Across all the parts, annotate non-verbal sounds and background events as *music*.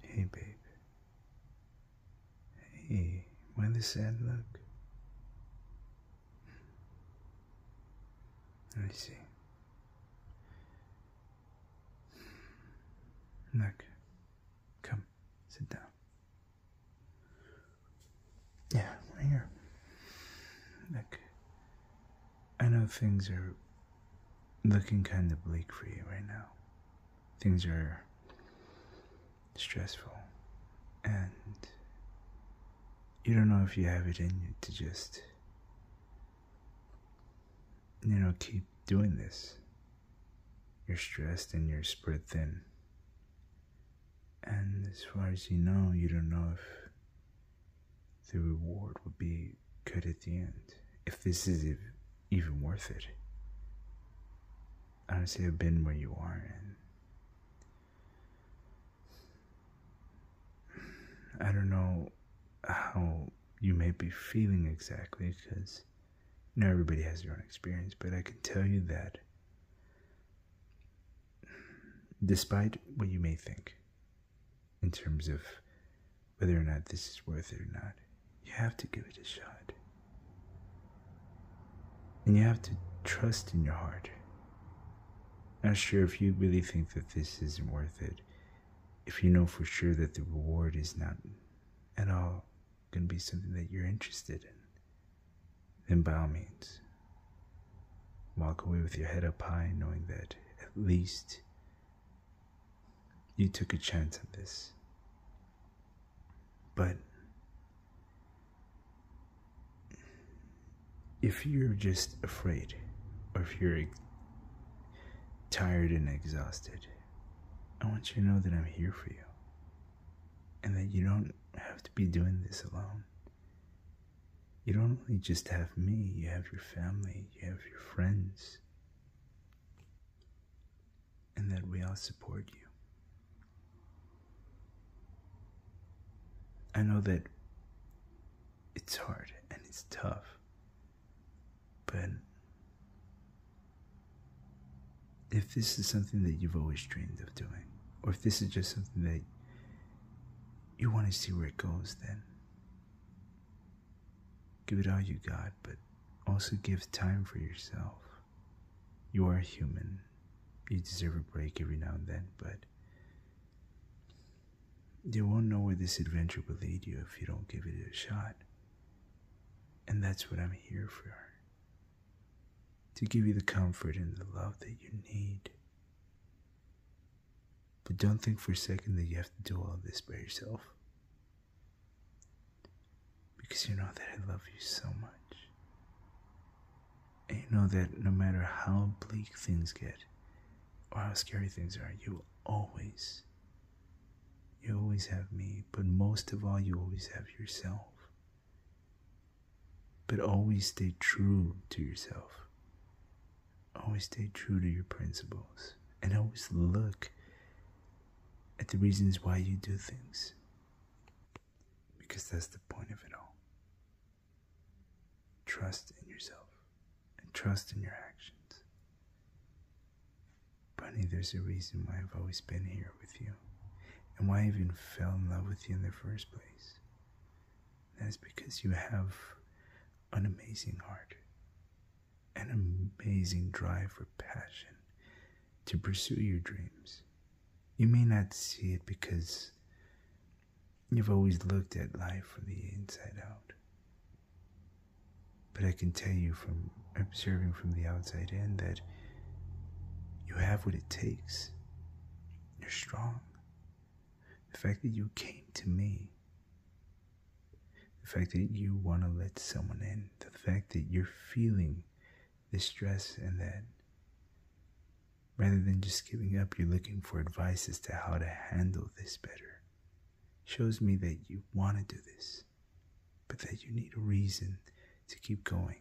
Hey, babe. Hey, why the sad look? Let me see. Look, come, sit down. Yeah, right here. Look, I know things are looking kind of bleak for you right now. Things are stressful, and you don't know if you have it in you to just, you know, keep doing this. You're stressed and you're spread thin. And as far as you know, you don't know if the reward would be good at the end. If this is even worth it. I don't Honestly, I've been where you are, and I don't know how you may be feeling exactly because not everybody has their own experience, but I can tell you that despite what you may think, in terms of whether or not this is worth it or not. You have to give it a shot. And you have to trust in your heart. Not sure, if you really think that this isn't worth it, if you know for sure that the reward is not at all going to be something that you're interested in, then by all means, Walk away with your head up high, knowing that at least you took a chance on this. But if you're just afraid, or if you're tired and exhausted, I want you to know that I'm here for you and that you don't have to be doing this alone. You don't only just have me, you have your family, you have your friends, and that we all support you. I know that it's hard and it's tough, but if this is something that you've always dreamed of doing, or if this is just something that you want to see where it goes then. Give it all you got, but also give time for yourself. You are human. You deserve a break every now and then, but you won't know where this adventure will lead you if you don't give it a shot. And that's what I'm here for to give you the comfort and the love that you need. But don't think for a second that you have to do all this by yourself. Because you know that I love you so much. And you know that no matter how bleak things get, or how scary things are, you always, you always have me, but most of all, you always have yourself. But always stay true to yourself. Always stay true to your principles. And always look at the reasons why you do things. Because that's the point of it all. Trust in yourself and trust in your actions. Bunny, there's a reason why I've always been here with you and why I even fell in love with you in the first place. That is because you have an amazing heart, an amazing drive for passion to pursue your dreams. You may not see it because you've always looked at life from the inside out. But I can tell you from observing from the outside in that you have what it takes. You're strong. The fact that you came to me, the fact that you want to let someone in, the fact that you're feeling the stress and that rather than just giving up, you're looking for advice as to how to handle this better. Shows me that you want to do this but that you need a reason to keep going.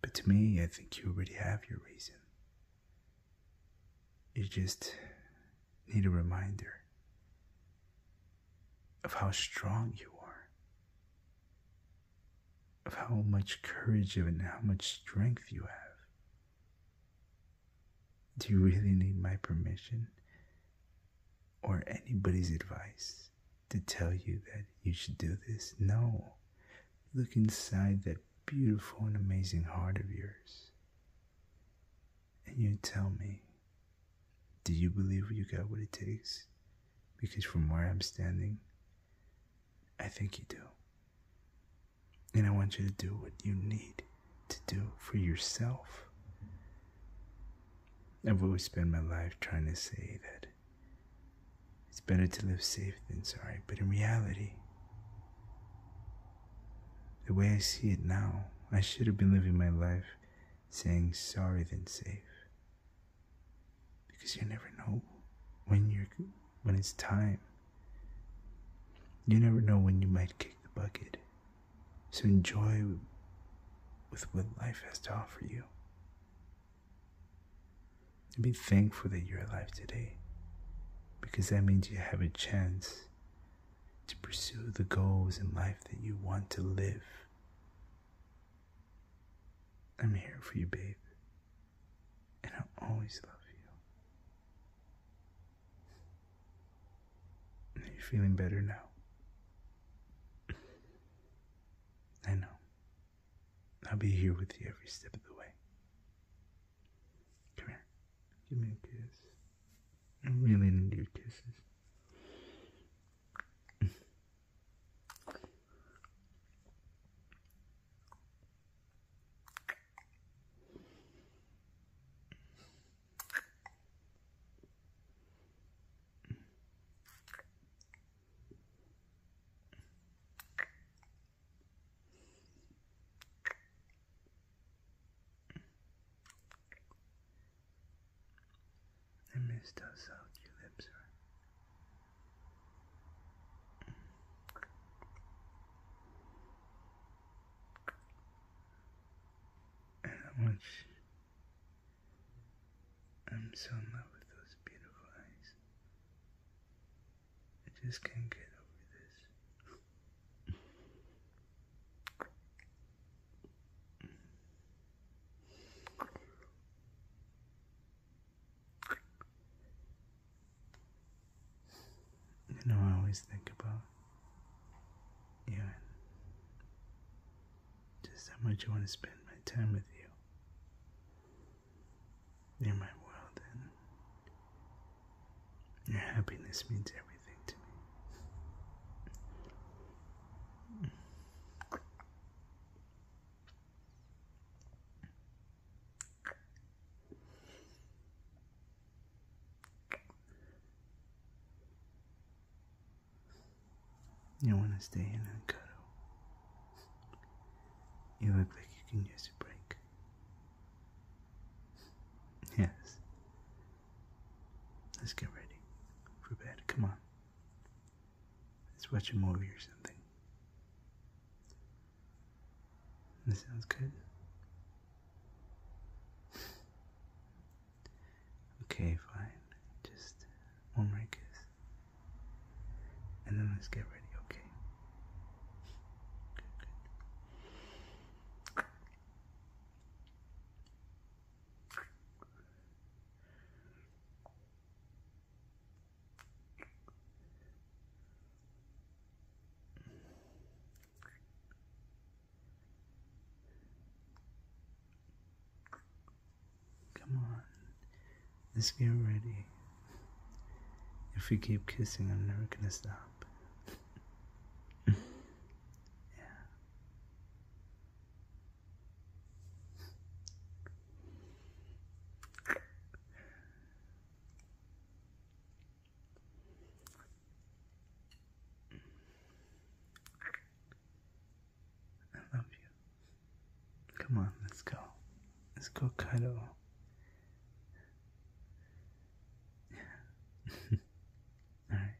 But to me, I think you already have your reason. You just need a reminder of how strong you are, of how much courage and how much strength you have. Do you really need my permission or anybody's advice to tell you that you should do this. No. Look inside that beautiful and amazing heart of yours. And you tell me, do you believe you got what it takes? Because from where I'm standing, I think you do. And I want you to do what you need to do for yourself. I've always spent my life trying to say that it's better to live safe than sorry, but in reality, the way I see it now, I should have been living my life saying sorry than safe. Because you never know when you're when it's time. You never know when you might kick the bucket. So enjoy with what life has to offer you. And be thankful that you're alive today because that means you have a chance to pursue the goals in life that you want to live. I'm here for you, babe, and I will always love you you Are feeling better now? I know. I'll be here with you every step of the way. Come here. Give me a kiss. I really need your kisses. I missed how soft your lips are. And I'm so in love with those beautiful eyes. I just can't get over this. You know, I always think about you just how much I want to spend my time with you. You're my world, and your happiness means everything to me. You want to stay in and cuddle. You look like you can use a break. Yes. Let's get ready for bed. Come on. Let's watch a movie or something. That sounds good. okay, fine. Just one more kiss. And then let's get ready, okay? Come on, let's get ready. If we keep kissing, I'm never gonna stop. *laughs* yeah. I love you. Come on, let's go. Let's go, Kaido. *laughs* All right.